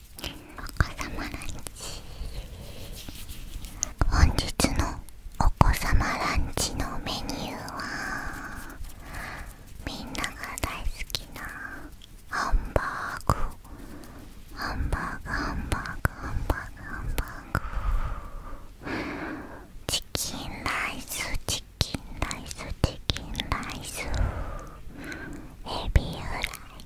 お子まランチ本日のお子様ランチのメニューはみんなが大好きなハンバーグハンバーグハンバーグハンバーグハンバーグチキンライスチキンライスチキンライスエビフライ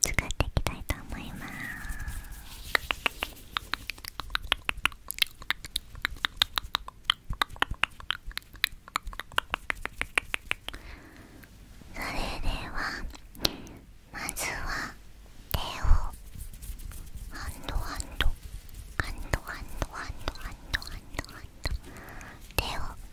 作っていきたいと思いますそれではまずは手をハンドハンドハンドハンドハンドハンドハンドハを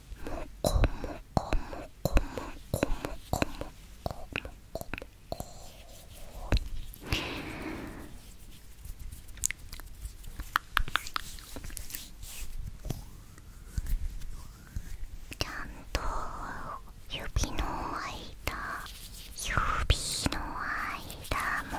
こもこもこもこもこもこもこもこちゃんと指の間指の間も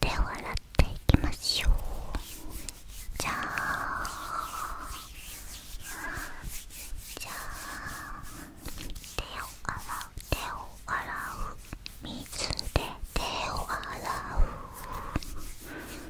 手を洗っていきましょうじゃあじゃあ手を洗う手を洗う水で手を洗う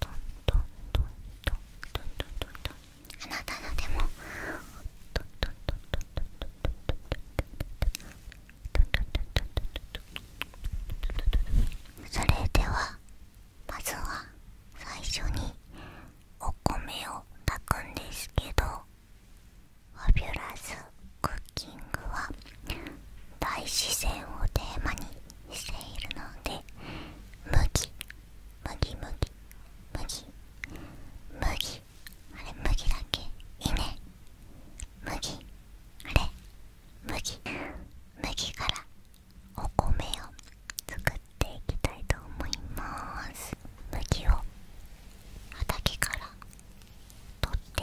トあなたのでもそれではまずは最初にお米を炊くんですけどファビュラスクッキングは大自然をテーマにしているので麦麦麦麦麦あれ麦だっけいいね麦あれ麦麦からお米を作っていきたいと思います麦を畑から取って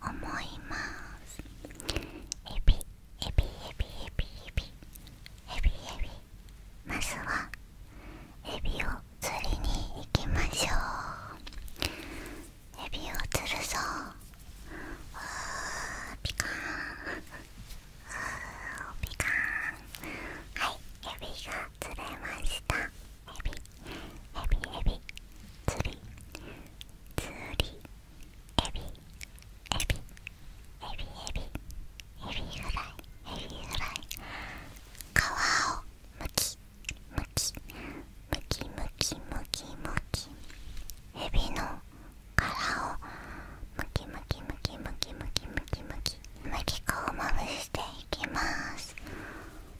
思いますエビエビエビエビエビエビまずはエビを釣りに行きましょうエビを釣るぞわーピカーンーピカーはいエビが釣れましたエビエビエビ釣り釣りエビエビエビエビエビエフライエビフライ皮をむきむきむきむきむきむきエビの殻をむきむきむきむきむきむきむきむき粉をまぶしていきます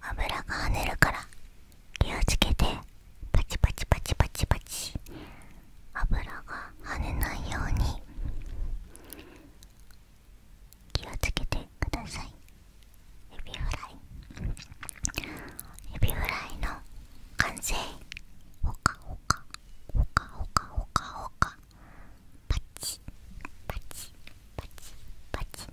油が跳ねるから気をつけてパチパチパチパチパチ油が跳ねないように気をつけてくださいエビフライエビフライの完成ほかほかほかほかほかほかパチパチパチパチ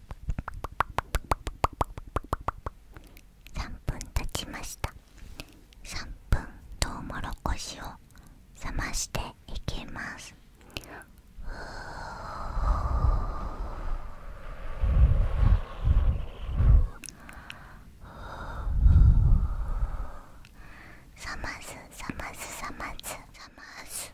3分経ちました3分とうもろこしを冷ましていきます冷ます冷まます冷ます冷ます冷ます冷ます冷ます冷ます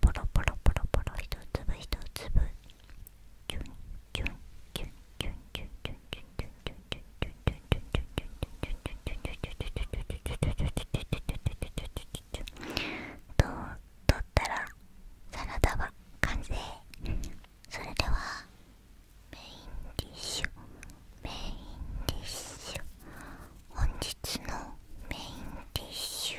ポロポロポロポロ一粒一粒チュンチュンチュンチュンチュンチュンチュンチュンチュンチュンチュンと取ったらサラダは完成それではメインディッシュメインディッシュ本日のメインディッシュ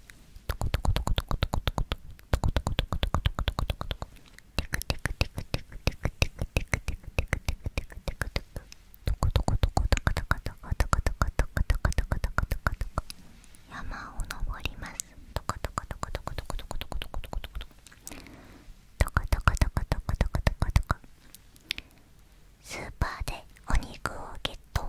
トコトコトコトコトコトコトコトコトコトコトコトコトコトコテクテクテクテクテクテクテクテクテクテクテクテクテクトコトコトコトコトコトコトコトコトコトコトコトコトコトコ山を登りますトコトコトコトコトコトコトコトコトコトコトコトコトコトコトコトコトコトコスーパーでお肉をゲット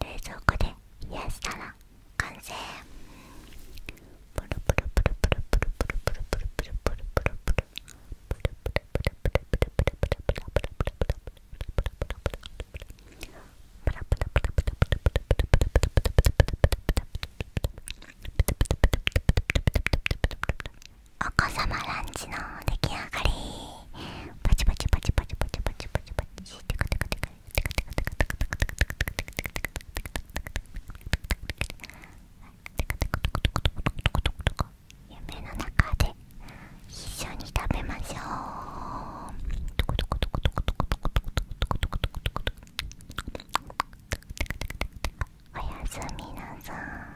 冷蔵庫で冷やしたら完成プルプルプルプルプルプルプルプルプルプルプルプルお子様ランチの出来上がりパチパチパチパチパチパチパチパチパチテカテカテカ夢の中で一緒に食べましょうおやすみなさい